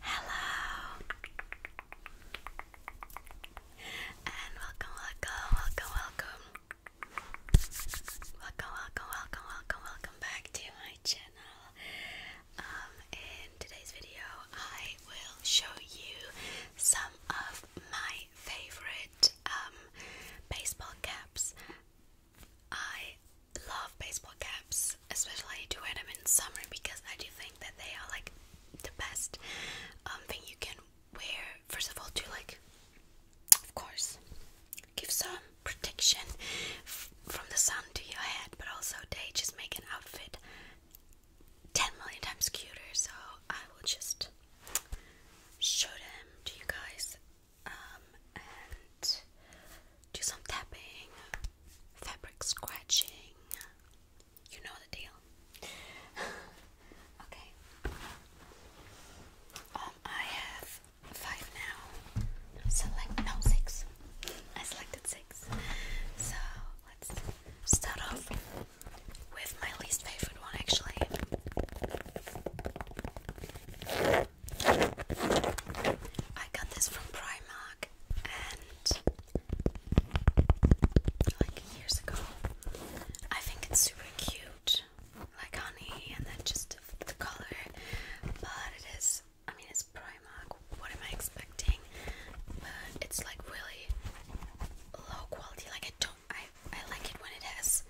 Hello and welcome, welcome, welcome, welcome, welcome, welcome, welcome, welcome, back to my channel. Um, in today's video, I will show you some of my favorite um, baseball caps. I love baseball caps, especially to wear them in summer because I do think that they are like the best um, thing you can wear. First of all, to like, of course, give some protection from the sun to your head, but also they just make an outfit 10 million times cuter. So I will just show them to you guys. Um, and do some tapping, fabric scratching. You know the deal. okay. Um, I have five now. Select no six. I selected six. So let's start off with my least favorite one, actually. I got this from Primark and like years ago. I think it's super cute, like honey, and then just the color. But it is, I mean, it's Primark. What am I expecting? But it's like really low quality. Like I don't, I I like it when it has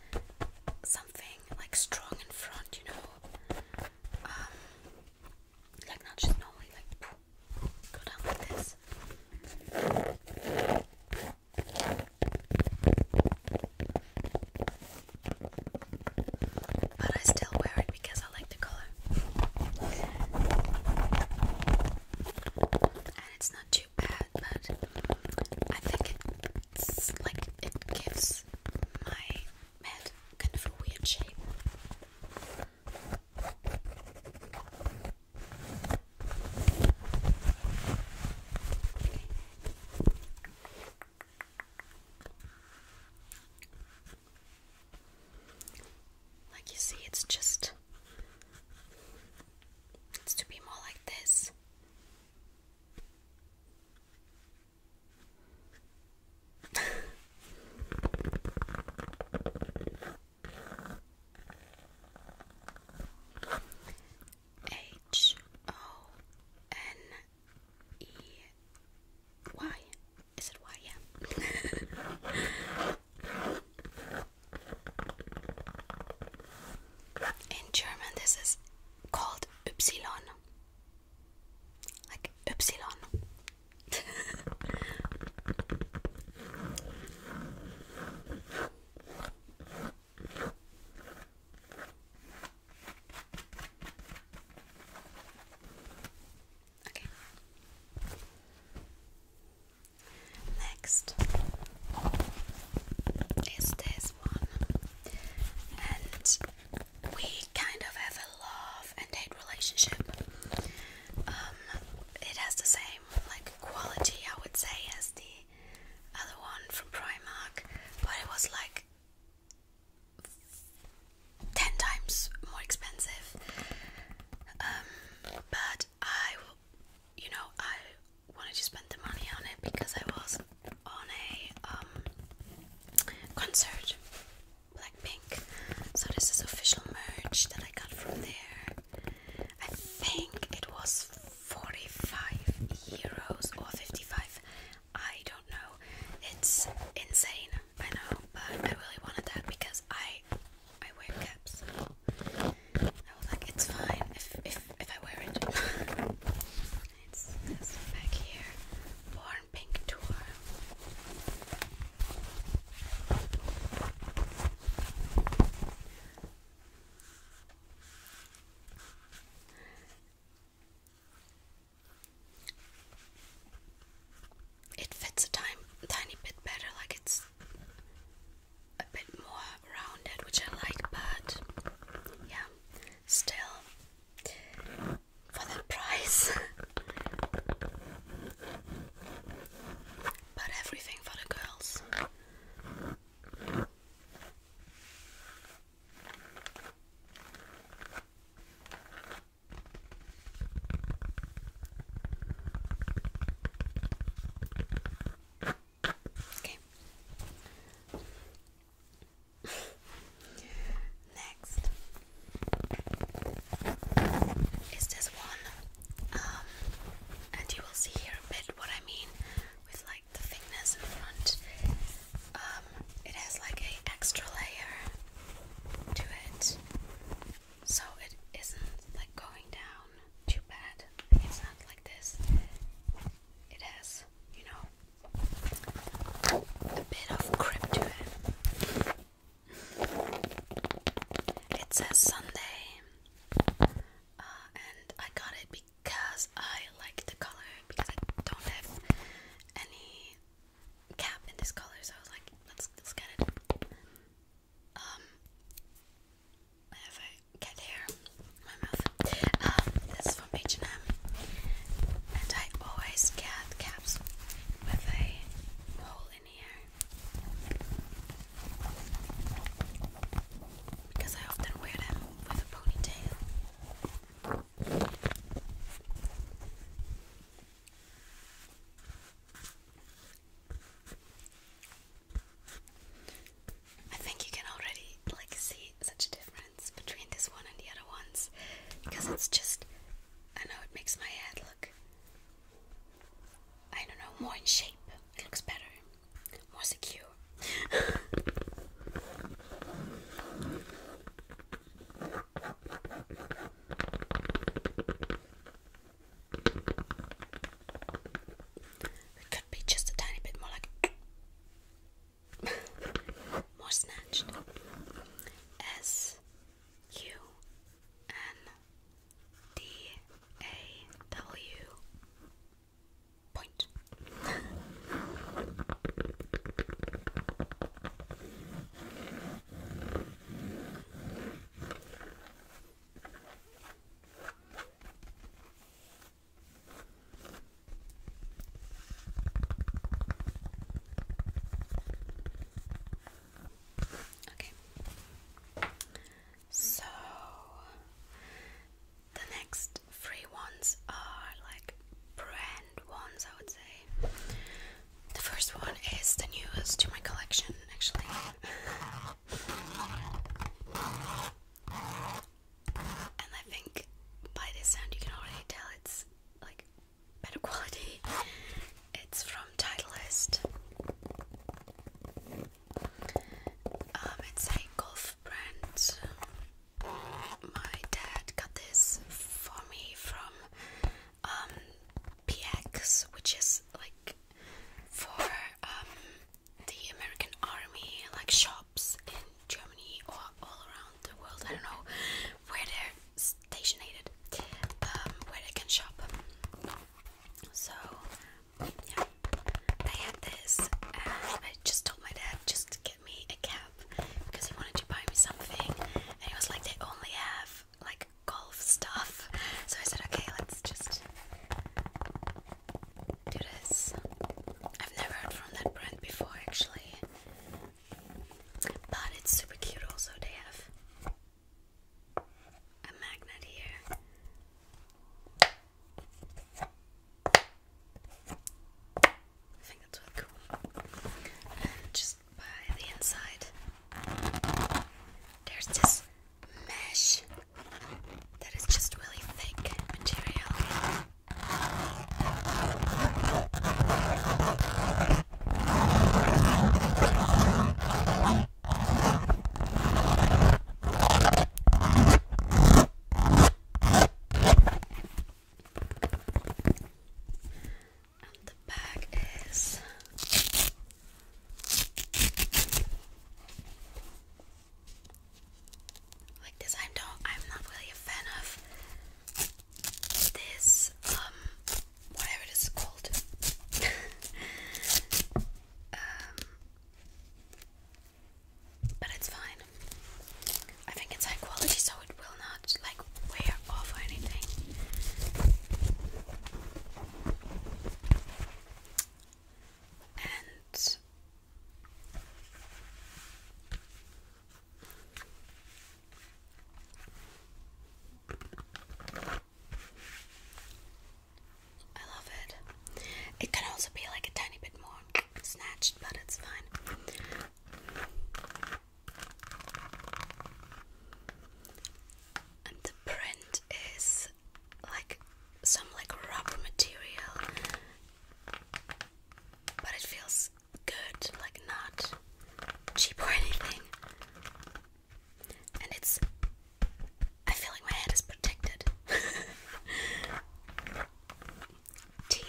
something like strong in front, you know. Um, like not just normally like go down like this. But I still wear it because I like the color. And it's not too bad, but I think it's like it gives my made kind of a weird shape. Like you see, it's just it's to be more like this. H O N E Y. Is it Y? Yeah. In German, this is called Ypsilon like Upsilon. okay. Next is this one, and we kind of have a love and hate relationship. Um, it has the same like quality, I would say, as the other one from Primark, but it was like ten times more expensive. Um, but I, you know, I wanted to spend the money on it because I was on a um, concert Blackpink. So this is official merch that I got from there. I think it was 45 euros or 55. I don't know. It's insane. I know, but I really wanted that because I I wear caps. So I was like, it's fine if if if I wear it. it's this back here pink tour. It fits a tiny bit better, like it's a bit more rounded, which I like, but yeah, still for the price. but everything for the girls. Okay. Next is this one, um, and you will see here a bit what I mean with like the thickness in front. Um, it has like a extra layer to it, so it isn't like going down too bad. It's not like this. It has, you know, a bit of grip to it. It says Sunday, uh, and I got it because I like the color because I don't have any cap in this color, so I was like, let's let's get it. Um, I have a my mouth. Um, this is from H and M, and I always get caps with a hole because I often wear them with a ponytail. I think you can already like see such a difference between this one and the other ones because it's just I know it makes my head look I don't know, more in shape. It looks better, more secure. it could be just a tiny bit more like more snatched. S U N D A W point. Okay. So the next three ones are like brand ones, I would say. The first one is the newest to my collection, actually. and I think by this sound you can already tell it's like better quality. It's from Titleist. Um, it's a golf brand. My dad got this for me from um, PX, which is like for um, the American Army, like shops in Germany or all around the world. I don't know where they're stationated, um, where they can shop. So, yeah, had this, and I just told my dad just get me a cap because he wanted to buy me something, and he was like, they only have like golf stuff. So I said, okay, let's just do this. I've never heard from that brand before, actually, but it's super cute. Also, they have a magnet here. I think that's really cool. And just by the inside, there's this mesh that is just really thick material. And the bag is like this. I don't. I'm not really a fan of this um whatever it is called. Um, but it's fine. I think it's high quality, so it will not like wear off or anything. And I love it. It can also be like a tiny bit more snatched, but it's fine. And the print is like some like rubber material, but it feels good, like not cheap or anything and it's. I feel like my head is protected. T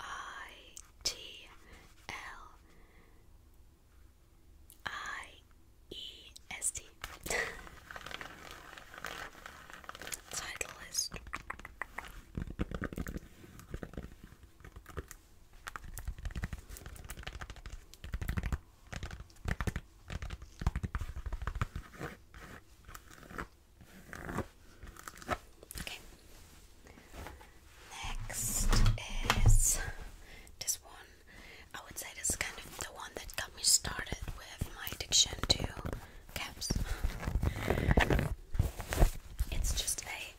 I T L I E S T. Title Okay. Next is this one. I would say this is kind of the one that got me started with my addiction to caps. It's just a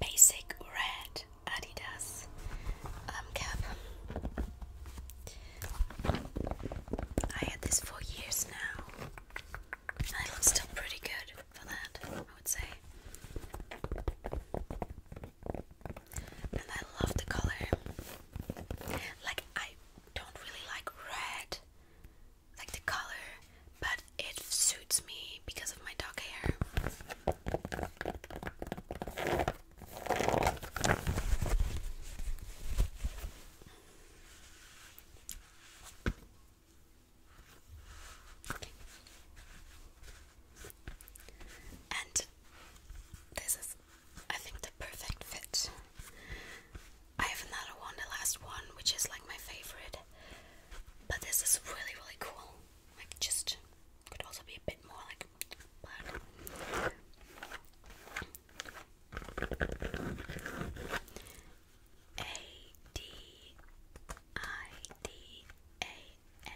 basic red Adidas um, cap. I had this for years now. And it looks still pretty good for that, I would say. And I love the color. Like, I don't really like red, like the color, but it suits me because of my dog hair. And this is, I think, the perfect fit. I have another one, the last one, which is like my favorite. But this is really, really cool. Like, just could also be a bit more like A D I D A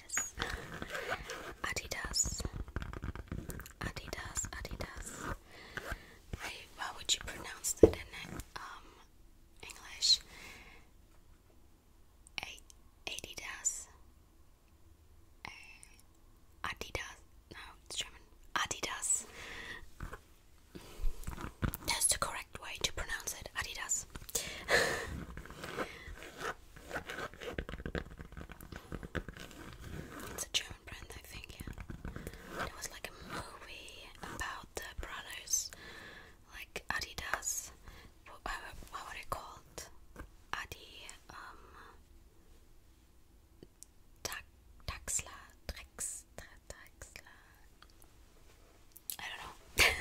S Adidas Adidas Adidas how would you pronounce it in um, English? Adidas uh, Adidas. No, it's German. Adidas. That's the correct way to pronounce it. Adidas. it's a German brand, I think. Yeah. There was like a movie about the brothers, like Adidas uh, what were it called? Are um, Taxla, Drex, Taxla. I don't know.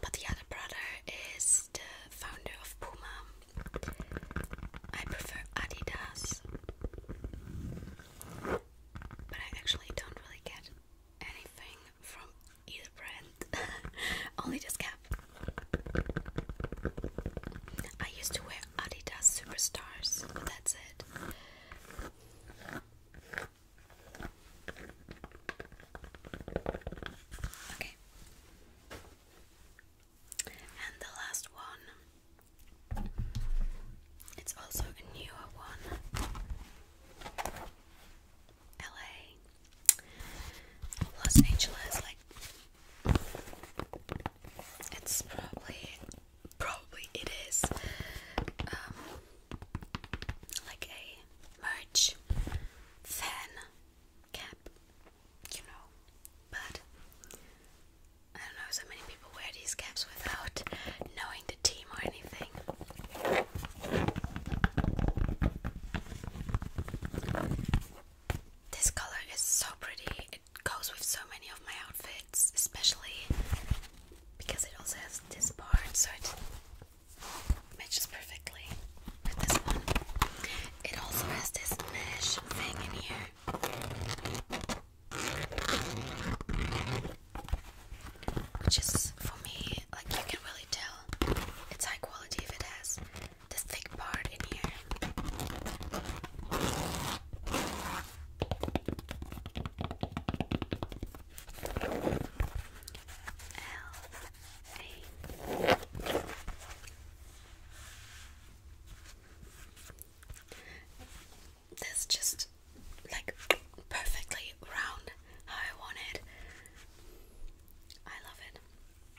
but the other brother is the founder of Puma. I prefer Adidas, but I actually don't really get anything from either brand, only this I used to wear Adidas Superstars, but that's it. Okay. And the last one. It's also a newer one. LA, Los Angeles, like it's probably probably it is um like a merch fan cap, you know, but I don't know, so many people wear these caps without knowing the team or anything. This color is so pretty. It goes with so many of my outfits, especially because it also has this part, so it matches perfectly with this one. It also has this mesh thing in here. Which is for me, like you can really tell it's high quality if it has this thick part in here. L A. This just like perfectly round how I want I love it.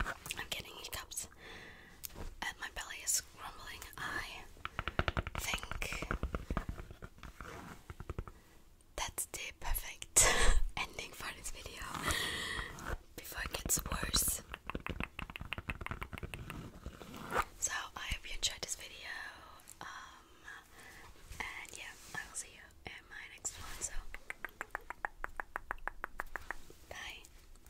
I'm getting cups, and my belly is rumbling. I think that's the perfect ending for this video before it gets worse. So, I hope you enjoyed this video. Um, and yeah, I will see you in my next one. So, bye.